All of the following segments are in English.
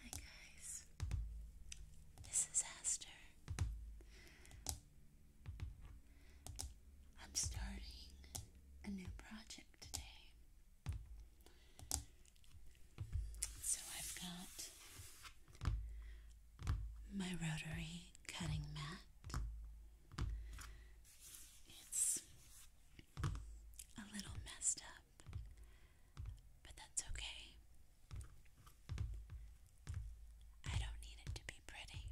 Hi guys, this is Aster. I'm starting a new project today. So I've got my rotary cutting mat. It's a little messed up, but that's okay. I don't need it to be pretty.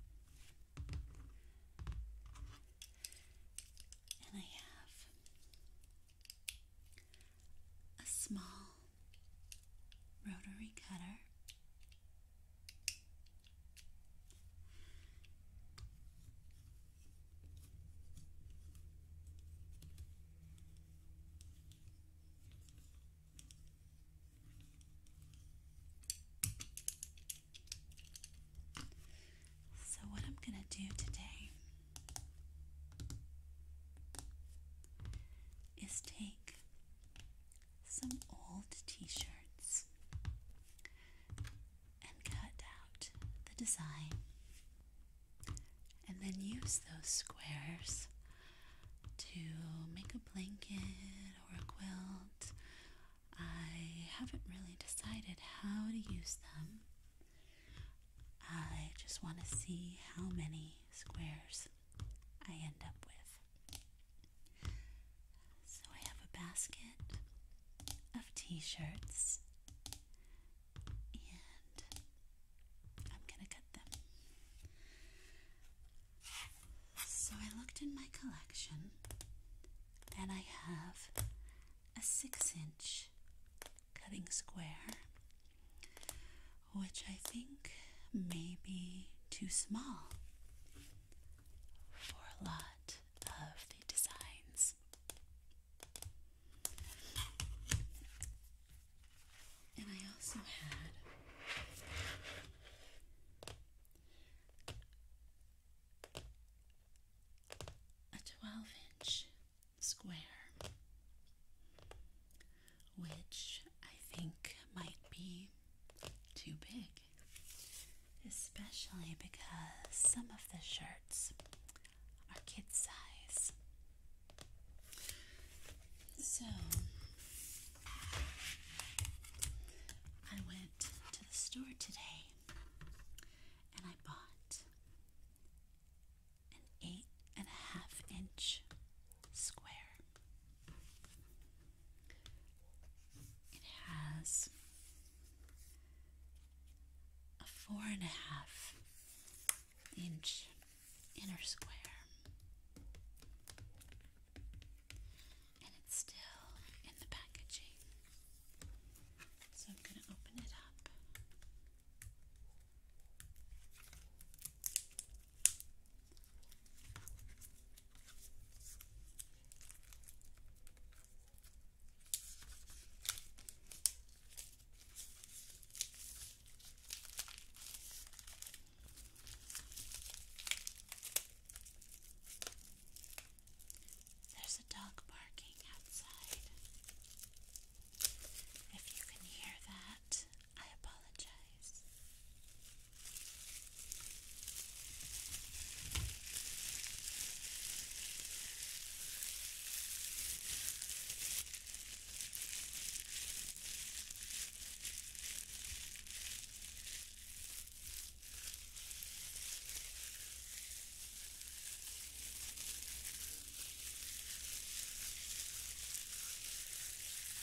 And I have a small rotary cutter. So, what I'm going to do today is take some old t shirts and cut out the design, and then use those squares to make a blanket or a quilt. I haven't really decided how to use them. I just want to see how many squares I end up with. So I have a basket of t shirts and I'm going to cut them. So I looked in my collection and I have a six inch cutting square which I think may be too small for a lot of the designs. And I also had a 12 inch square which I think might be too big, especially because some of the shirts are kid size. So I went to the store today and I bought an eight and a half inch square it has a four and a half inch inner square. And it's still in the packaging. So I'm going to open it up. There's a dog barking outside. If you can hear that, I apologize.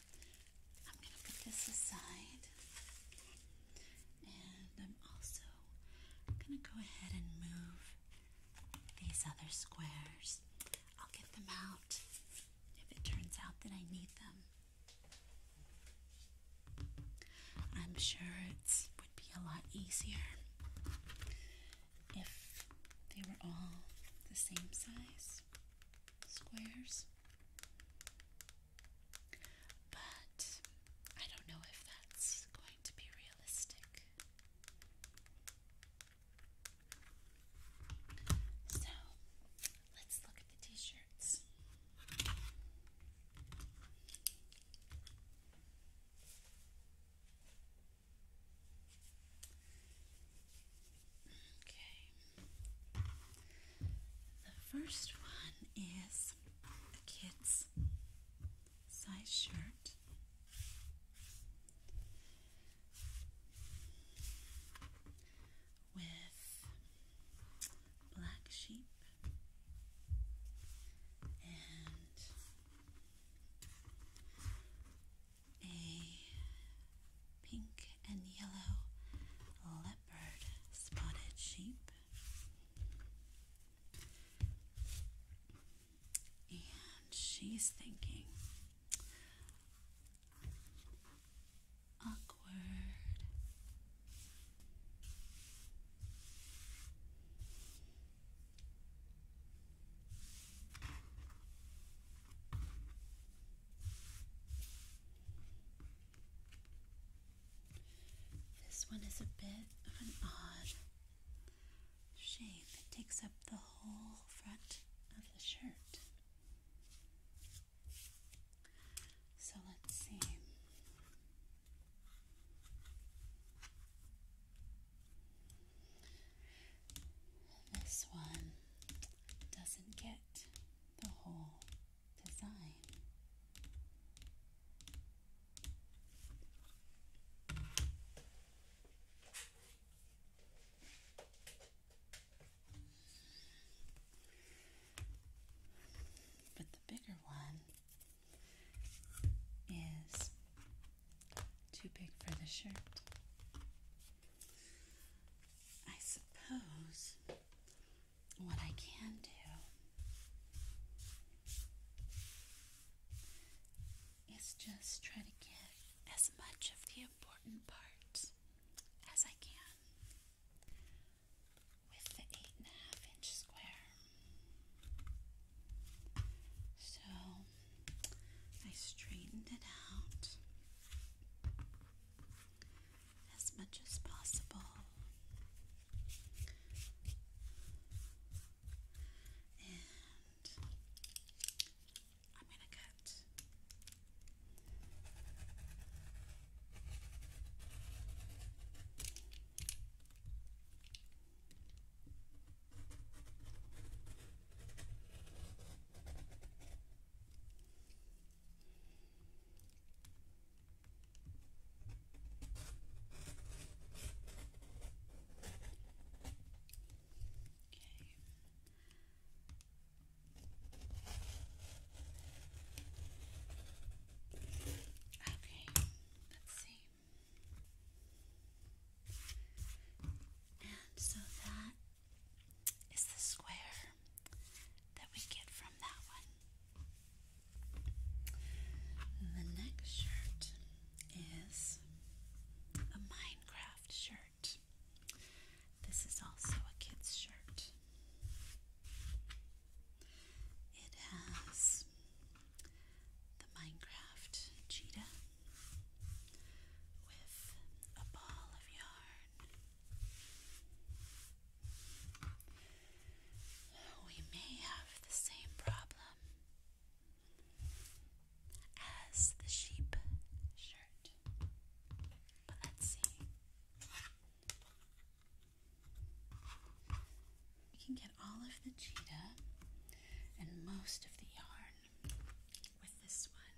I'm going to put this aside. And I'm also going to go ahead and move these other squares. I'll get them out if it turns out that I need them. I'm sure it would be a lot easier if they were all the same size squares. But I don't know if that's going to be realistic. So let's look at the t shirts. Okay. The first one is a kid's size shirt. With black sheep and a pink and yellow leopard spotted sheep. And she's thinking, awkward. This one is a bit of an odd shape. It takes up the whole front of the shirt. So let's see. This one doesn't get the whole design. But the bigger one is too big for the shirt. I suppose what I can do is just try to get as much of the important parts as I can with the eight and a half inch square. So I straightened it out as much as possible. And I'm going to cut. Okay, let's see. And so that is the square that we get from that one. The next shirt is a Minecraft shirt. This is also a kid's shirt. It has the Minecraft cheetah with a ball of yarn we may have the same problem as the sheep shirt. But let's see. We can get all of the cheetah and most of the yarn with this one.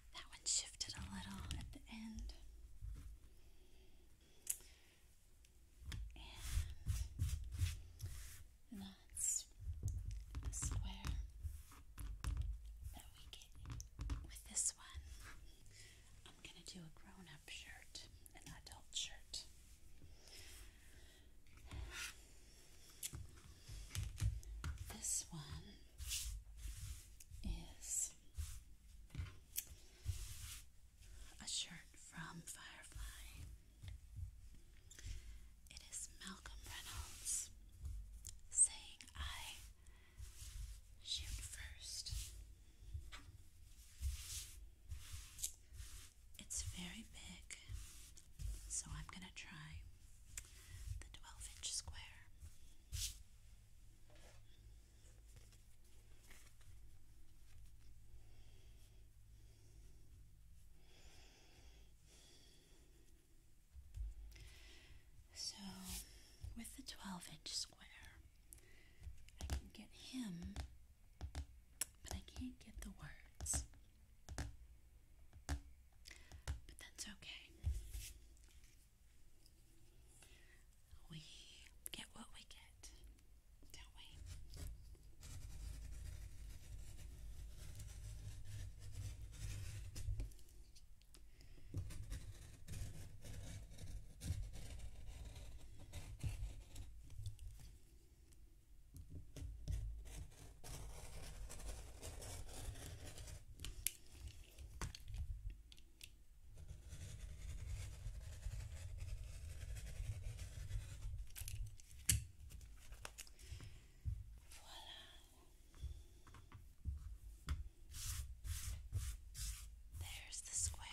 that one shifted a little at the end. And that's the square that we get with this one. I'm going to do a grown up shirt, an adult shirt. This one is a shirt from Firefly. It is Malcolm Reynolds saying, I shoot first. It's very big, so I'm going to try the 12 inch square. So, with the 12 inch square, I can get him, but I can't get the words. But that's okay. We get what we get, don't we? Voilà. There's the square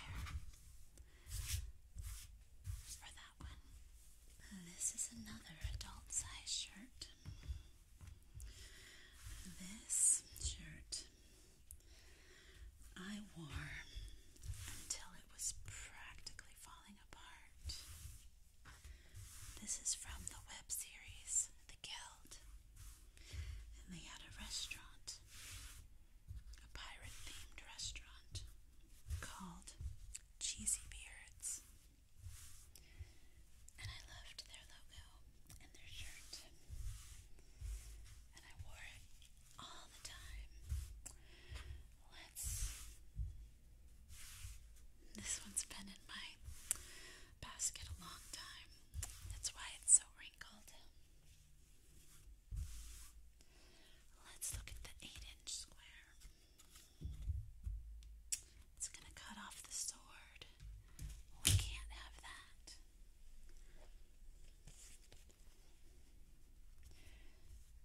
for that one. this is another adult size shirt. This shirt I wore until it was practically falling apart. This is from the web series The Guild, and they had a restaurant, a pirate themed restaurant called Cheesy Beards. And I loved their logo and their shirt. And I wore it all the time. This one's been in my basket a long time. That's why it's so wrinkled. Let's look at the 8 inch square. It's going to cut off the sword. We can't have that.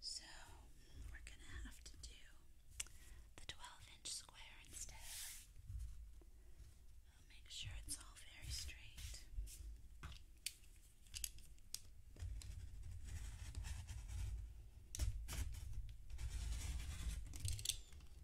So we're going to have to do the 12 inch square instead. I'll make sure it's all very straight.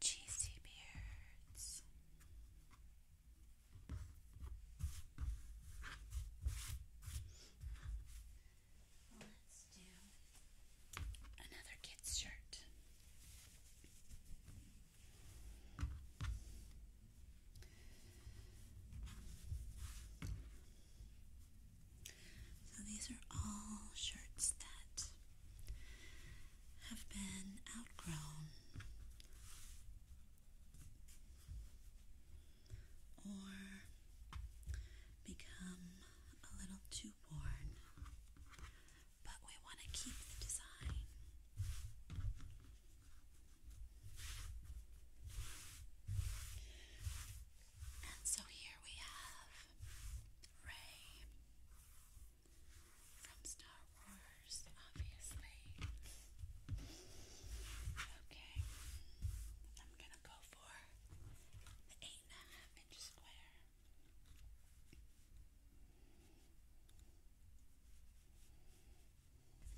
Cheesy beards. Let's do another kid's shirt. So these are all shirts that have been outgrown or become a little too worn, but we want to keep the design. And so here we have Ray from Star Wars, obviously. Okay, I'm gonna go for the eight and a half inch square.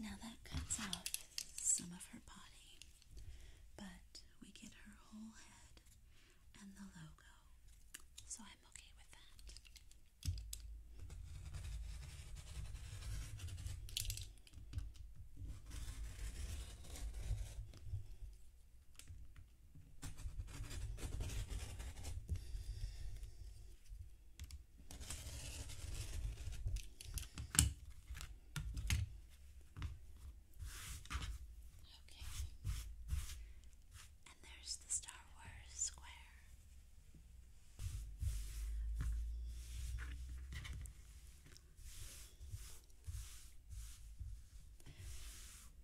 Now that cuts off some of her body, but we get her whole head and the logo, so I'm okay with that. Okay. And there's the Star Wars square.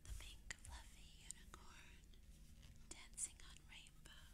The pink fluffy unicorn dancing on rainbow.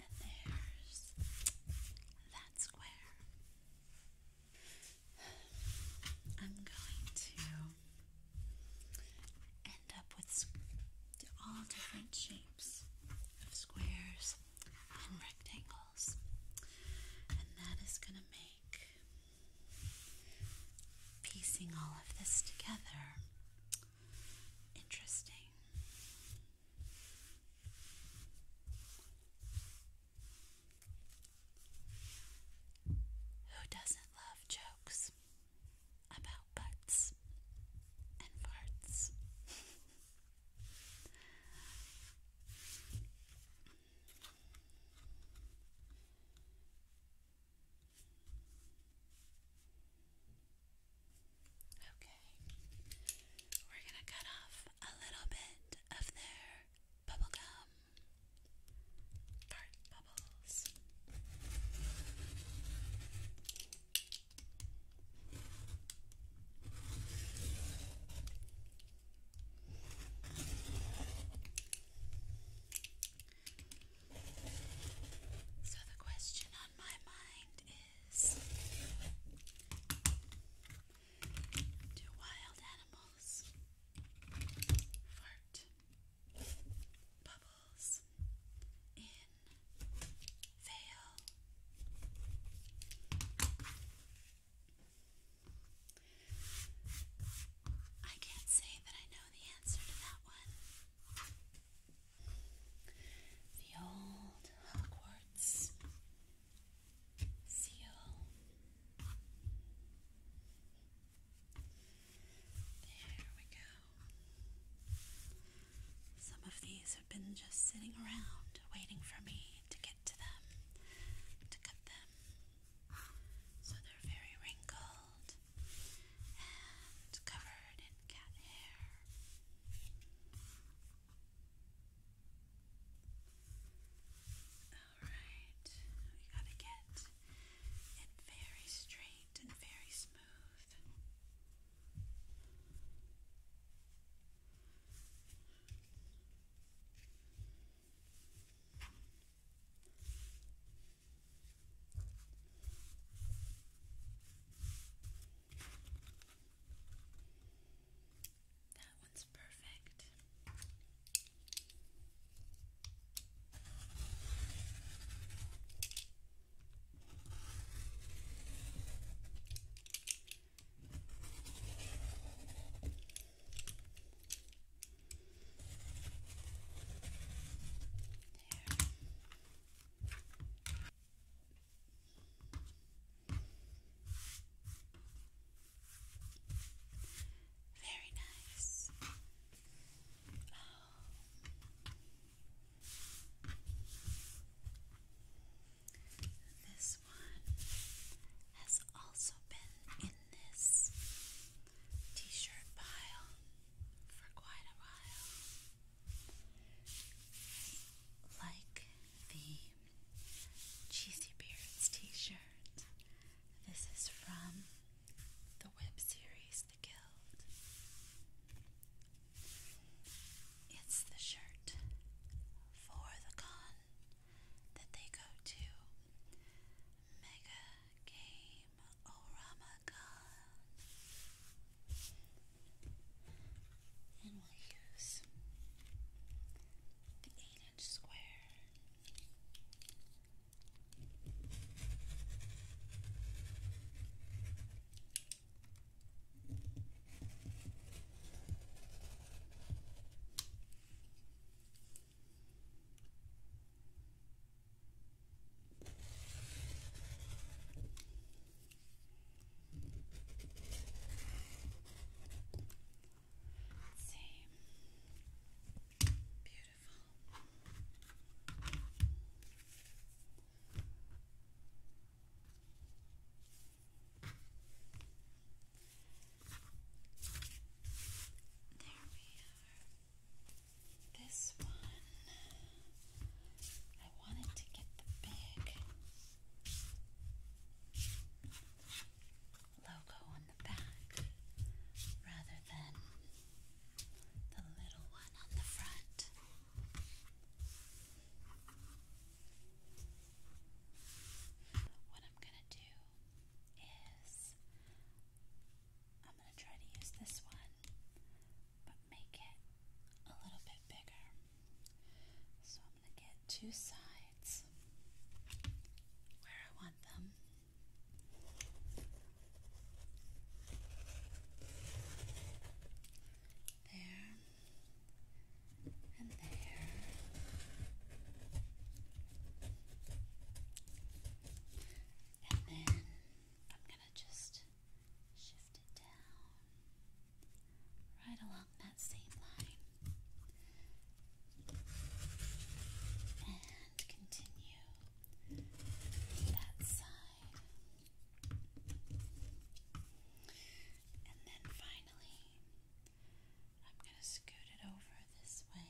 And there's that square. I'm going to end up with all different shapes of squares and rectangles, and that is going to make piecing all of this together. Interesting. Who doesn't love jokes about butts and farts? Okay, we're going to cut off a little bit of their bubblegum part bubbles. So, the question on my mind is Do wild animals fart bubbles in veil? I can't say that I know the answer to that one. The old Hogwarts seal. There we go. Some of these have been just sitting around waiting for me to get to them, to cut them. So they're very wrinkled and covered in cat hair. Alright, you gotta get it very straight and very smooth. That one's perfect. Very nice. Oh. This one has also been in this t shirt pile for quite a while. Like the Cheesy Beards t shirt, this is from the web series The Guild. It's the shirt for the con that they go to Mega Game Oramagon. And we'll use the 8 inch square. Let's see. Beautiful. All there we are. This one, I wanted to get the big logo on the back rather than the little one on the front. What I'm going to do is I'm going to try to use this one but make it a little bit bigger. So I'm going to get two sides where I want them. There and there. And then I'm going to just shift it down right along that same line and continue that side. And then finally, I'm going to scoot it over this way.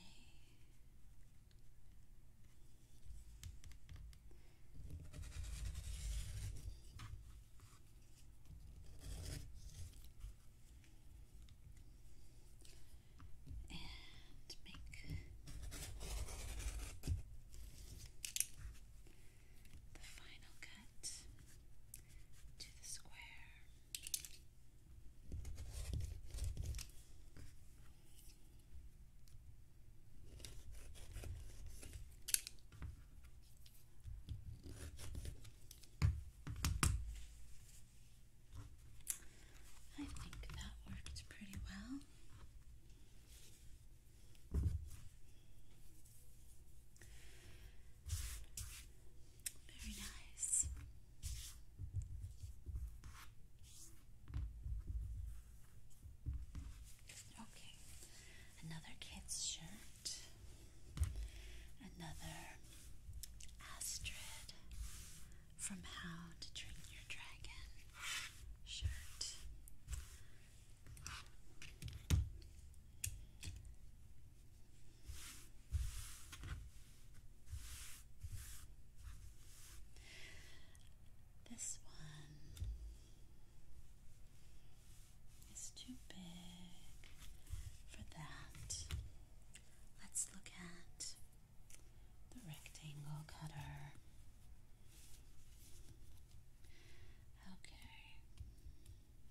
And make the final cut to the square. I think that worked pretty well. Very nice. Okay, another kid's shirt, another Astrid from How to Train Your Dragon shirt. This one is too big for that. Let's look at the rectangle cutter. Okay.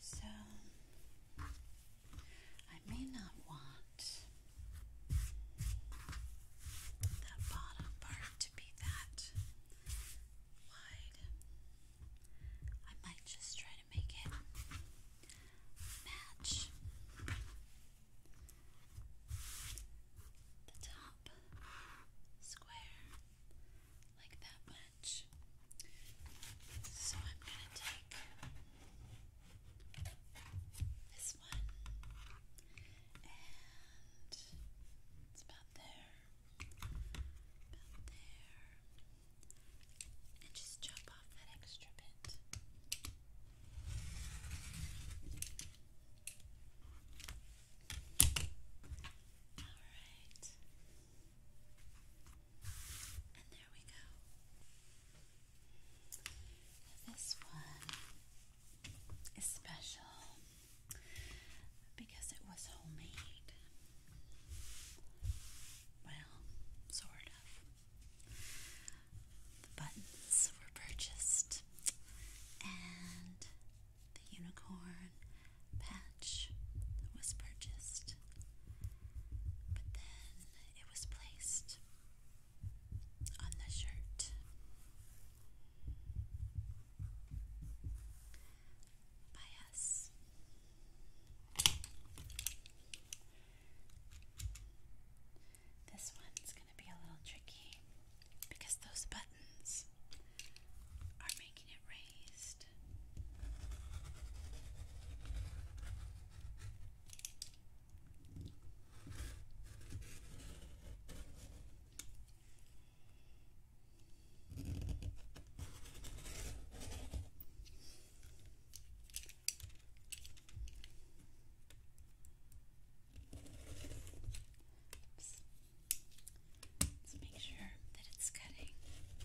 So I may not want that bottom part to be that wide. I might just try to make it match the top square like that much. So I'm gonna take this one and it's about there, about there, and just chop off that extra bit. Alright. And there we go. This one is special because it was homemade. Well, sort of. The buttons were purchased and the unicorn patch was purchased, but then it was placed on the shirt. By us. This one's going to be a little tricky because those buttons are making it raised. Oops. Let's make sure that it's cutting. Alright.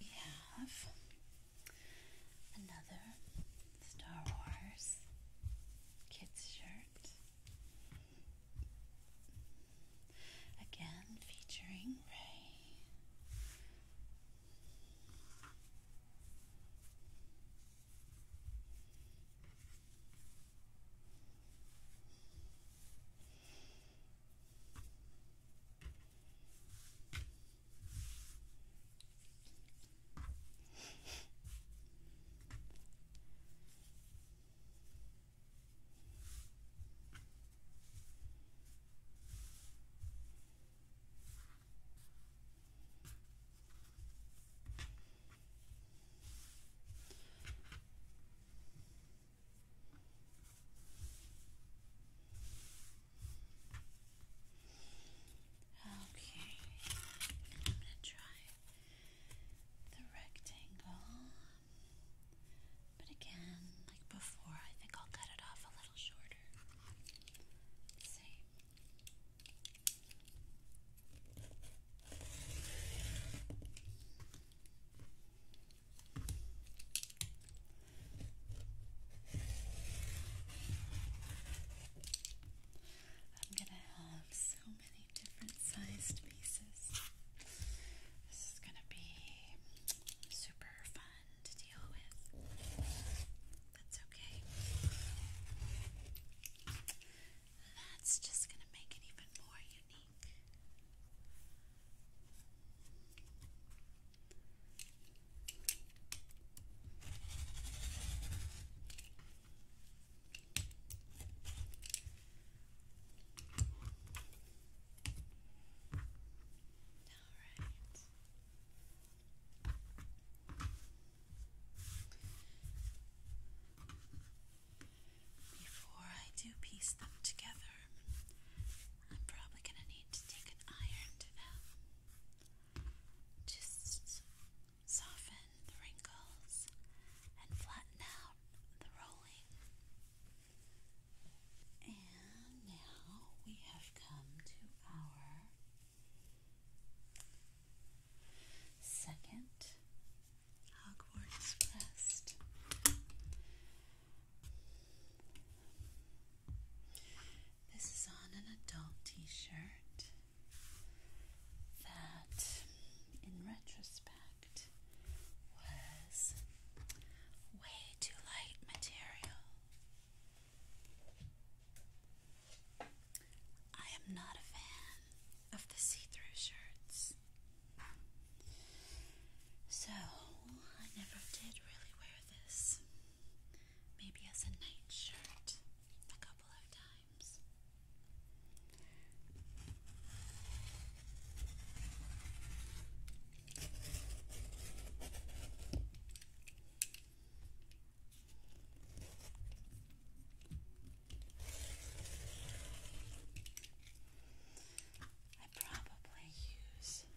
We have another Star Wars kids shirt. Again, featuring Ray. Okay, I'm going to try the rectangle. But again, like before, I think I'll cut it off a little shorter. let I'm going to have so many different sized pieces. This is gonna be super fun to deal with. That's okay. That's just gonna make it even more unique. Before I do piece them together, I'm probably going to need to take an iron to them. Uh, just soften the wrinkles and flatten out the rolling. And now we have come to our second Hogwarts quest. This is on an adult t shirt that, in retrospect, was way too light material. I am not a fan of the see through shirts. So, I never did really wear this. Maybe as a night a couple of times. I probably use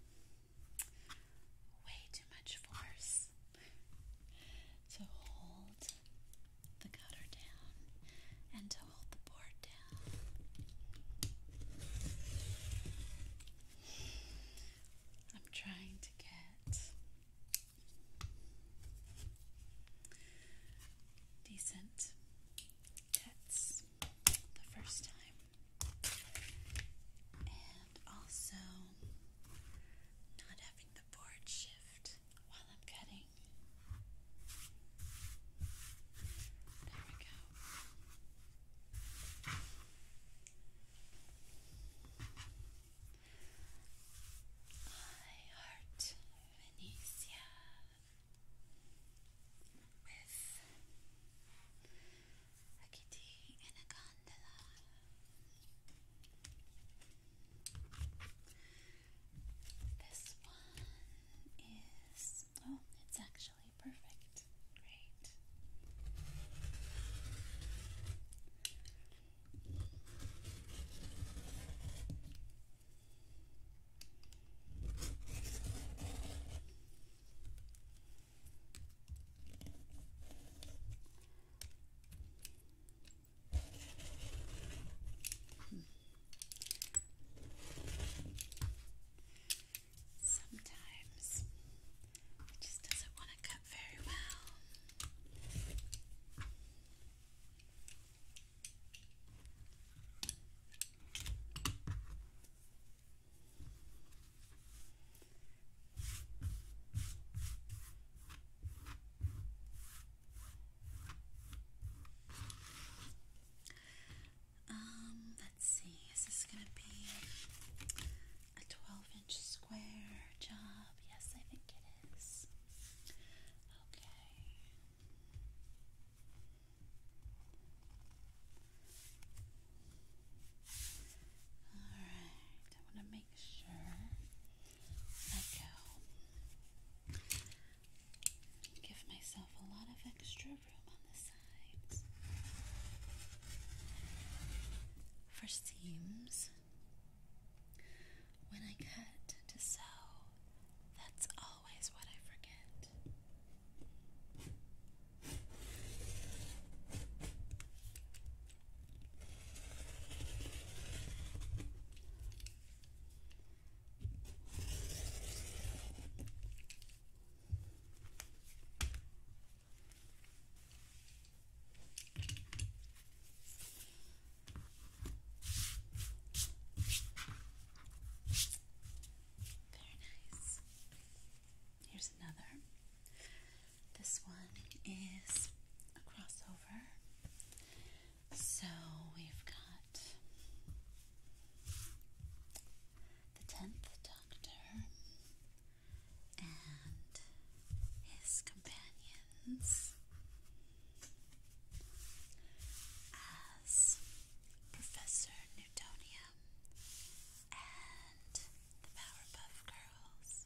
way too much force to hold the cutter down and to hold the board down. I'm trying to get decent cuts the first time, and also not having the board shift while I'm cutting. There we go. I heart Venetia with a kitty in a gondola. This one is, oh, it's actually perfect. Great. Hmm. Sometimes it just doesn't want to cut very well. Um, let's see, is this gonna be a 12 inch square job? Yes, I think it is. Okay. Alright, I want to make sure I go Give myself a lot of extra room on the sides. For seams, when I cut to sew, that's always what I forget. Very nice. Here's another. This one is a crossover. So we've got the tenth Doctor and his companions as Professor Newtonium and the Powerpuff Girls.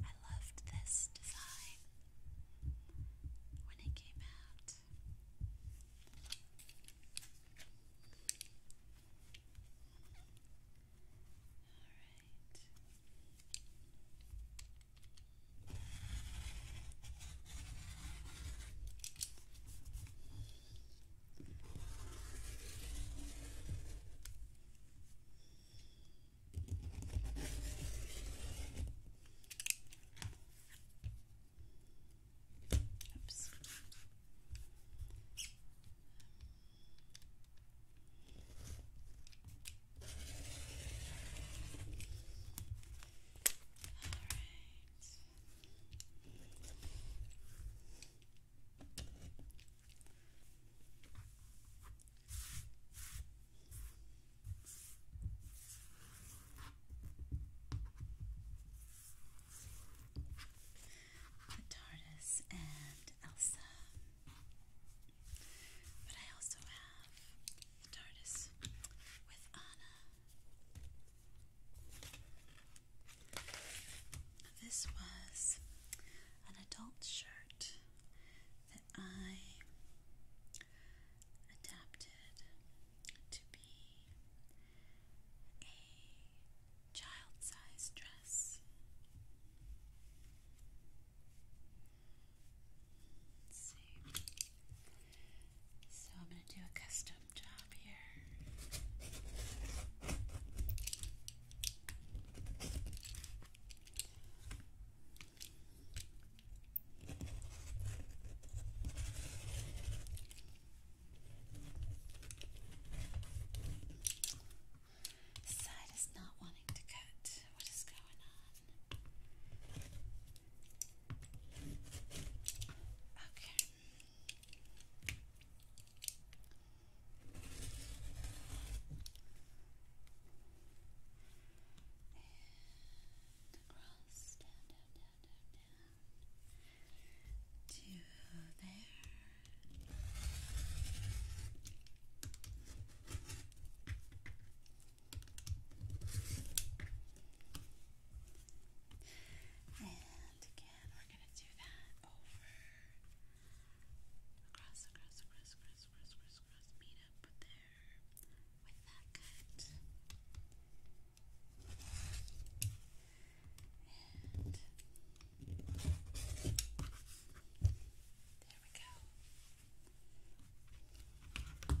I loved this design when it came out. Alright. Oops. All right. The TARDIS and Elsa. But I also have TARDIS with Anna. This was an adult shirt that I adapted to be a child size dress. see. So I'm going to do a custom job here. Side is not wanting to cut. What is going on? Okay. And across, down, down, down, down, down. To there. And again, we're going to do that over Across, across, across, across, across, across, across. Meet up there with that cut. And there we go.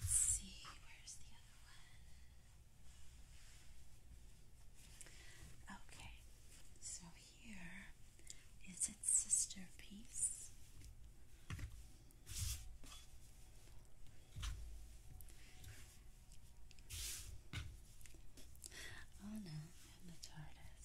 Let's see, where's the other one? Okay, so here is its sister piece. Oh no, i TARDIS.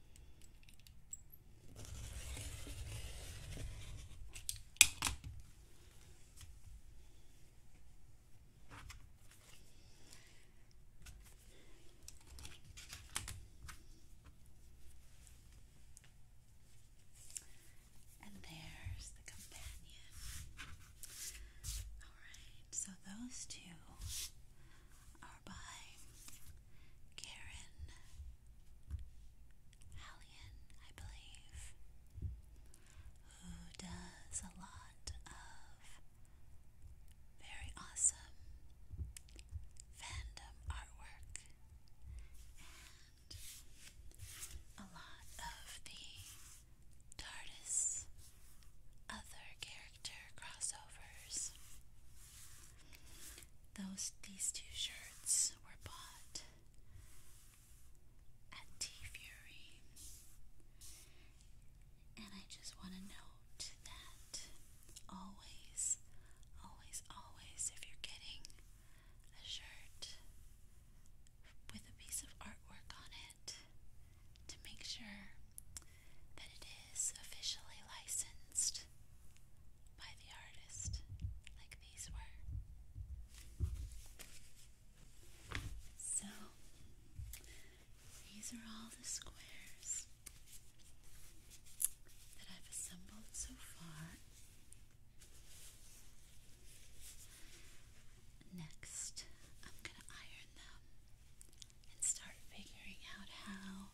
And there's the companion. All right, so those two are by Karen Hallian, I believe, who does a lot of very awesome fandom artwork and a lot of the TARDIS other character crossovers. Those these two shirts were bought at T Fury. And I just want to note that always, always, always, if you're getting a shirt with a piece of artwork on it, to make sure that it is officially licensed by the artist, like these were. So, these are all the squares that I've assembled so far. Next, I'm going to iron them and start figuring out how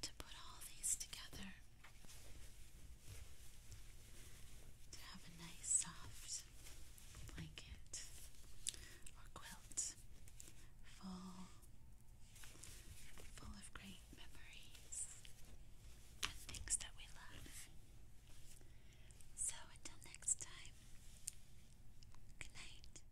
to put all these together to have a nice soft blanket or quilt full full of great memories and things that we love. So until next time, good night.